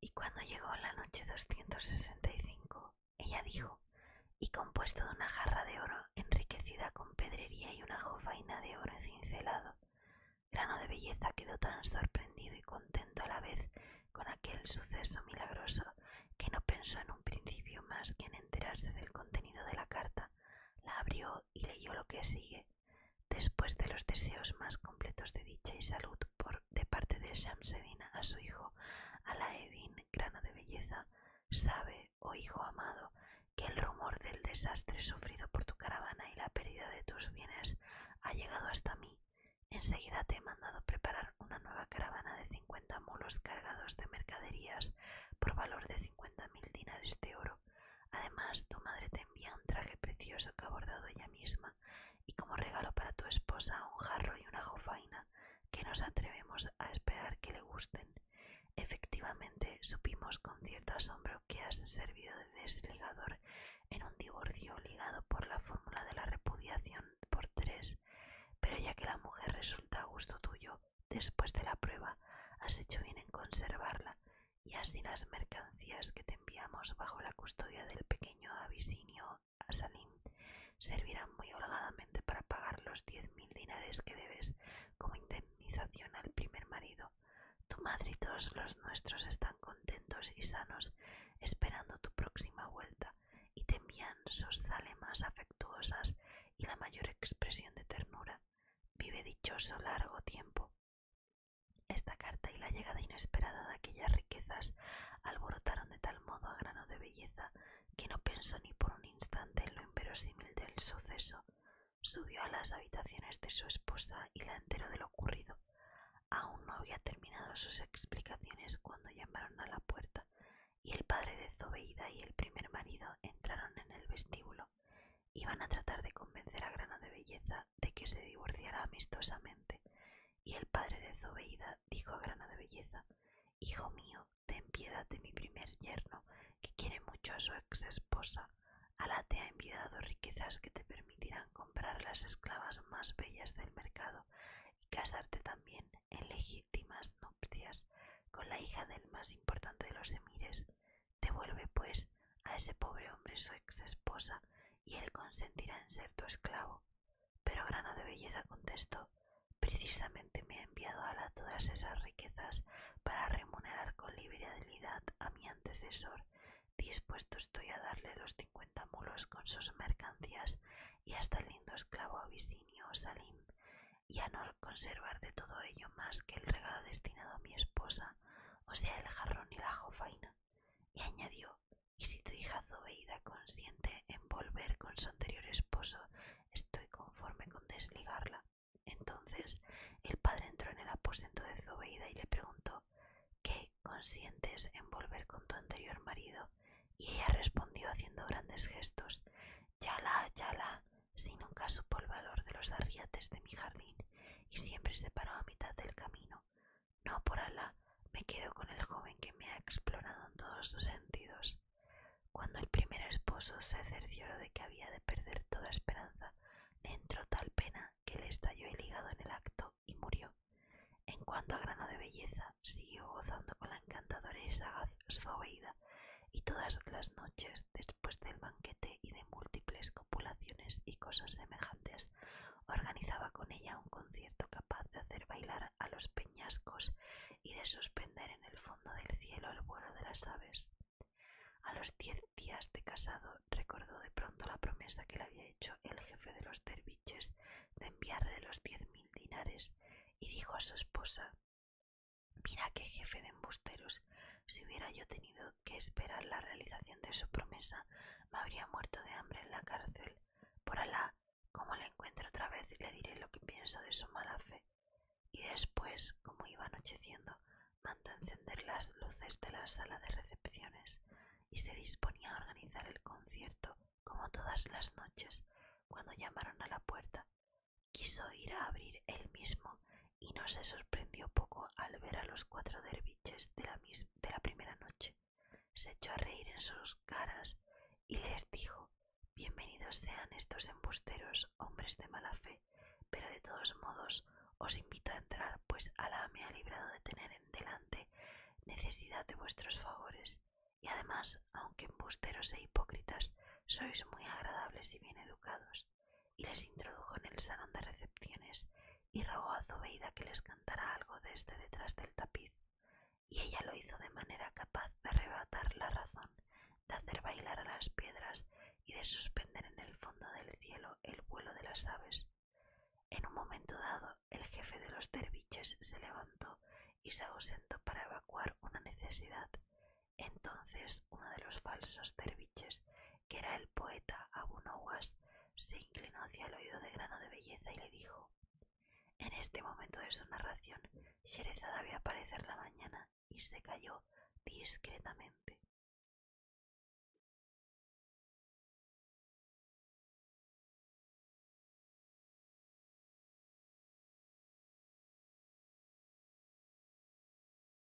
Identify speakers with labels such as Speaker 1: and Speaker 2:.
Speaker 1: Y cuando llegó la noche 265, ella dijo, y compuesto de una jarra de oro enriquecida con pedrería y una jofaina de oro cincelado, grano de belleza quedó tan sorprendido y contento a la vez con aquel suceso milagroso que no pensó en un principio más que en enterarse del contenido de la carta, la abrió y leyó lo que sigue. Después de los deseos más completos de dicha y salud por, de parte de Shamseddin a su hijo, Alaeddin, grano de belleza, sabe, oh hijo amado, que el rumor del desastre sufrido por tu caravana y la pérdida de tus bienes ha llegado hasta mí Enseguida te he mandado preparar una nueva caravana de cincuenta mulos cargados de mercaderías por valor de cincuenta mil dinares de oro. Además, tu madre te envía un traje precioso que ha bordado ella misma y como regalo para tu esposa un jarro y una jofaina que nos atrevemos a esperar que le gusten. Efectivamente, supimos con cierto asombro que has servido de desligador en un divorcio ligado por la fórmula de la repudiación por tres, pero ya que la mujer resulta a gusto tuyo, después de la prueba, has hecho bien en conservarla, y así las mercancías que te enviamos bajo la custodia del pequeño Abisinio Salim servirán muy holgadamente para pagar los diez mil dinares que debes como indemnización al primer marido tu madre y todos los nuestros están contentos y sanos esperando tu próxima vuelta y te envían sus zalemas afectuosas y la mayor expresión de ternura. Vive dichoso largo tiempo. Esta carta y la llegada inesperada de aquellas riquezas alborotaron de tal modo a grano de belleza que no pensó ni por un instante en lo inverosímil del suceso. Subió a las habitaciones de su esposa y la enteró de lo ocurrido. Aún no había terminado sus explicaciones cuando llamaron a la puerta y el padre de Zobeida y el primer marido entraron en el vestíbulo. Iban a tratar de convencer a Grano de Belleza de que se divorciara amistosamente, y el padre de Zobeida dijo a Grano de Belleza Hijo mío, ten piedad de mi primer yerno, que quiere mucho a su ex esposa Alá te ha enviado riquezas que te permitirán comprar las esclavas más bellas del mercado y casarte también en legítimas nupcias con la hija del más importante de los emires. Devuelve, pues, a ese pobre hombre su ex esposa y él consentirá en ser tu esclavo. Pero grano de belleza contestó, precisamente me ha enviado Alá todas esas para remunerar con liberalidad a mi antecesor. Dispuesto estoy a darle los cincuenta mulos con sus mercancías y hasta el lindo esclavo abisinio Salim, y a no conservar de todo ello más que el regalo destinado a mi esposa, o sea, el jarrón y la jofaina. Y añadió, y si tu hija Zobeida consiente en volver con su anterior esposo Estoy conforme con desligarla. Entonces el padre entró en el aposento de Zobeida y le preguntó ¿Qué consientes en volver con tu anterior marido? Y ella respondió haciendo grandes gestos ya la, si nunca supo el valor de los arriates de mi jardín y siempre se paró a mitad del camino. No, por Alá, me quedo con el joven que me ha explorado en todos sus sentidos. Cuando el primer esposo se cercioró de que había de perder toda esperanza, entró tal pena que le estalló el hígado en el acto y murió. En cuanto a grano de belleza, siguió gozando con la encantadora y sagaz Zobeida, y todas las noches, después del banquete y de múltiples copulaciones y cosas semejantes, organizaba con ella un concierto capaz de hacer bailar a los peñascos y de suspender en el fondo del cielo el vuelo de las aves. A los diez días de casado recordó de pronto la promesa que le había hecho el jefe de los terviches de enviarle los diez mil dinares y dijo a su esposa Mira qué jefe de embusteros. Si hubiera yo tenido que esperar la realización de su promesa, me habría muerto de hambre en la cárcel. Por Alá, como le encuentre otra vez, le diré lo que pienso de su mala fe. Y después, como iba anocheciendo, mandó encender las luces de la sala de recepciones y se disponía a organizar el concierto como todas las noches cuando llamaron a la puerta. Quiso ir a abrir él mismo y no se sorprendió poco al ver a los cuatro derviches de la primera noche se echó a reír en sus caras y les dijo Bienvenidos sean estos embusteros, hombres de mala fe, pero de todos modos os invito a entrar, pues alah me ha librado de tener en delante necesidad de vuestros favores. Y además, aunque embusteros e hipócritas, sois muy agradables y bien educados. Y les introdujo en el salón de recepciones y rogó a Zobeida que les cantara algo desde este detrás del tapiz, y ella lo hizo de manera capaz de arrebatar la razón, de hacer bailar a las piedras y de suspender en el fondo del cielo el vuelo de las aves. En un momento dado, el jefe de los derviches se levantó y se ausentó para evacuar una necesidad. Entonces uno de los falsos derviches que era el poeta Abu Nowas, se inclinó hacia el oído de grano de belleza y le dijo En este momento de su narración, Sherezada había aparecer la mañana y se cayó discretamente.